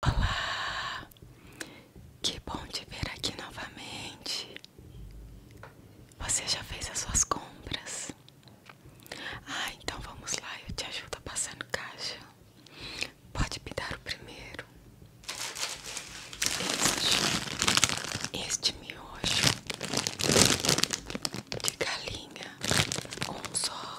Olá, que bom te ver aqui novamente. Você já fez as suas compras? Ah, então vamos lá, eu te ajudo a passar no caixa. Pode me dar o primeiro. Este, este miojo de galinha, um só.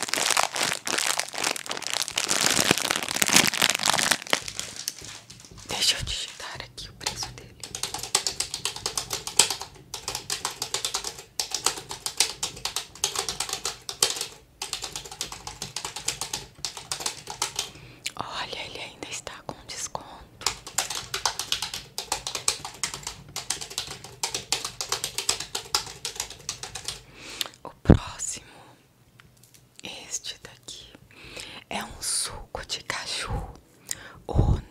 Deixa eu digitar aqui o preço dele. Olha, ele ainda está com desconto. O próximo, este daqui, é um suco de caju Ono.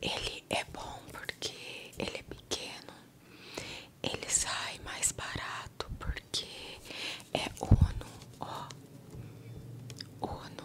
Ele é bom porque ele é pequeno, ele sai mais barato porque é Ono, ó, Ono.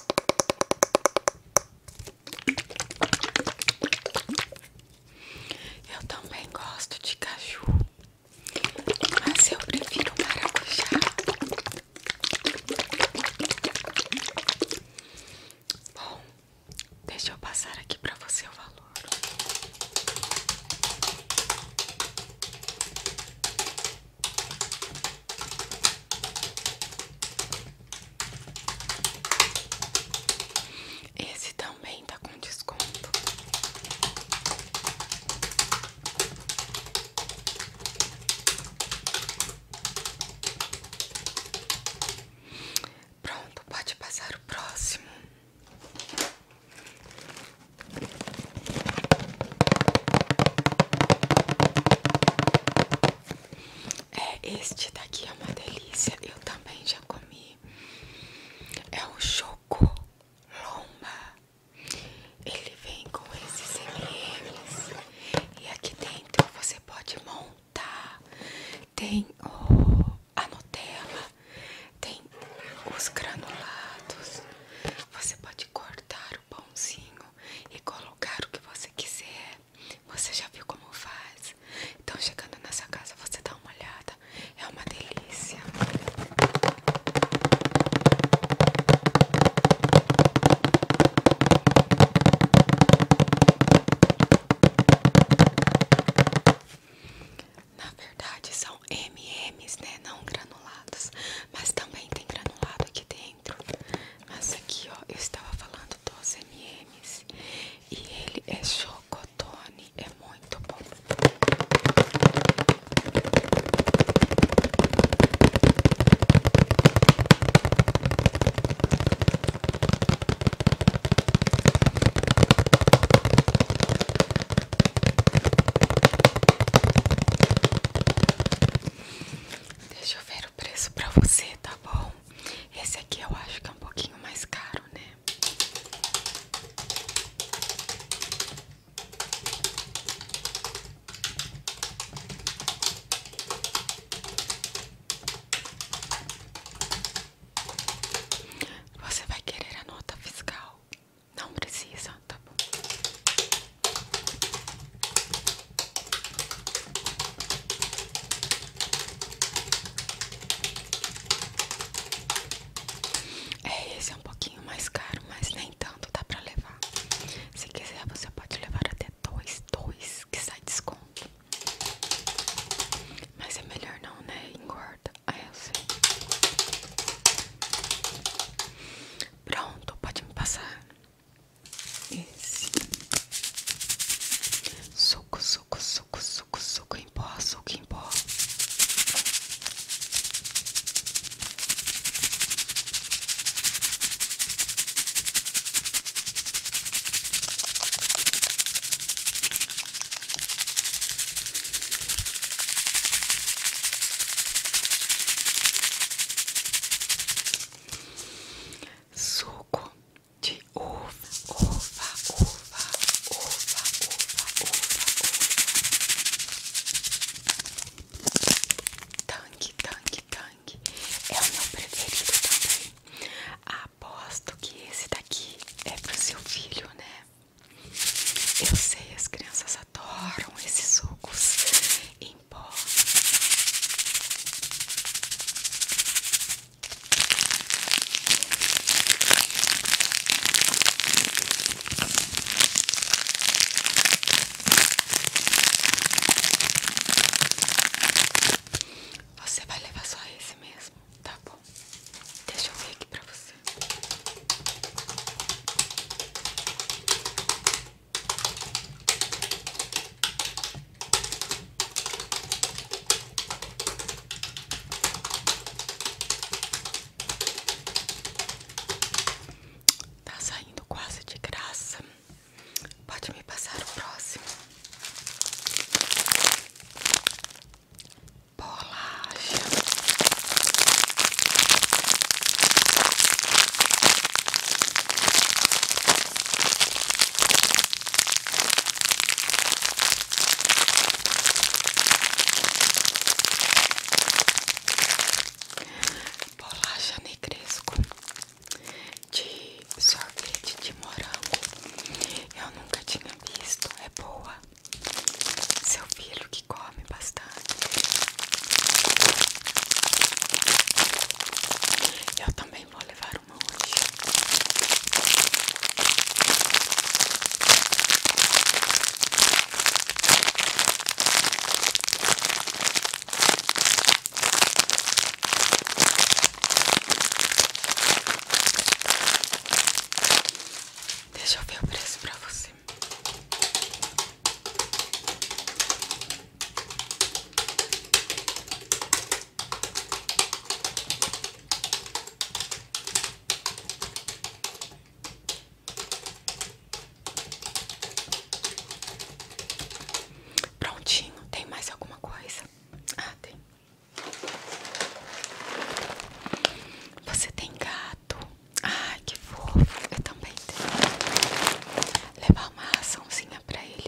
Eu também gosto de caju, mas eu prefiro maracujá. Bom, deixa eu passar aqui para você o valor. Esse também está com desconto. Pronto, pode passar o próximo. É, este daqui é uma delícia. Eu também já comi. É o choco lomba. Ele vem com esses MMs. E aqui dentro você pode montar. Tem a Nutella, tem os granulados. Você pode cortar o e colocar o que você quiser. Você já viu como faz? Então, chegando nessa casa, você dá uma olhada. É uma delícia. Na verdade, são MM cremes, né? Não granulados, mas também tem granulado aqui dentro. Mas aqui, ó, eu estava falando dos MMs e ele é chocotone, é muito bom. Deixa eu ver o preço pra você, tá bom? Esse aqui eu acho que é um pouquinho mais caro, né? Você vai querer a nota fiscal? Não precisa, tá bom. É, esse é um pouquinho mais caro, mas nem tanto, dá pra levar. Se quiser, você pode levar até dois, dois, que sai desconto. Mas é melhor não, né? Engorda nada. eu sei. Pronto, pode me passar. Esse. Suco, suco, suco, suco, suco em pó, suco em pó. Suco de uva, uva, uva, uva, uva, uva, uva. Tanque, tanque, tanque. É o meu preferido também. Aposto que esse daqui é pro seu filho, né? Eu sei, as crianças adoram esses sucos em pó. Você vai levar só esse mesmo, tá bom? Deixa eu ver aqui pra você. Tá saindo quase de graça. Pode me passar o próximo bolacha. Bolacha negresco de sorvete de morango. Eu nunca tinha visto. É boa. Seu filho que come bastante. Eu também vou levar uma hoje. Deixa eu ver o preço pra você. Prontinho, tem mais alguma coisa? Ah, tem. Você tem gato? Ai, que fofo! Eu também tenho. Levar uma raçãozinha pra ele.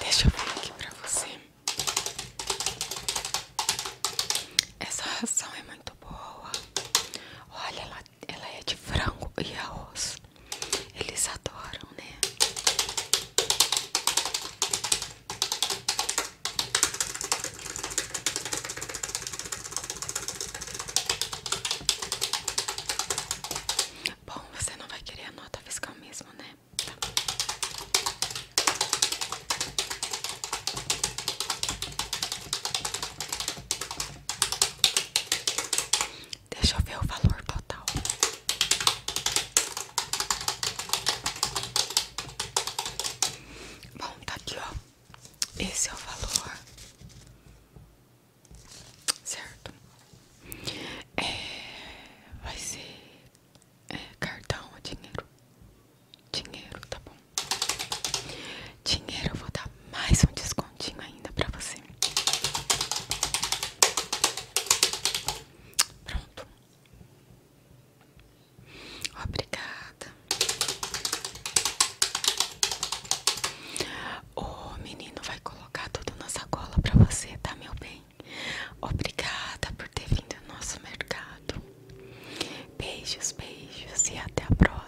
Deixa eu ver aqui pra você. Essa ração é muito boa. Olha, ela, ela é de frango e arroz. Eles adoram, né? Bom, você não vai querer a nota fiscal mesmo, né? Tá. Deixa eu ver o valor total. Bom, tá aqui, ó. Esse é o valor, certo? É, vai ser é, cartão ou dinheiro? Dinheiro, tá bom? Dinheiro, eu vou dar mais um descontinho ainda pra você. Pronto. Obrigada. O menino vai colocar tudo na sacola pra você, tá, meu bem? Obrigada por ter vindo ao nosso mercado. Beijos, beijos e até a próxima.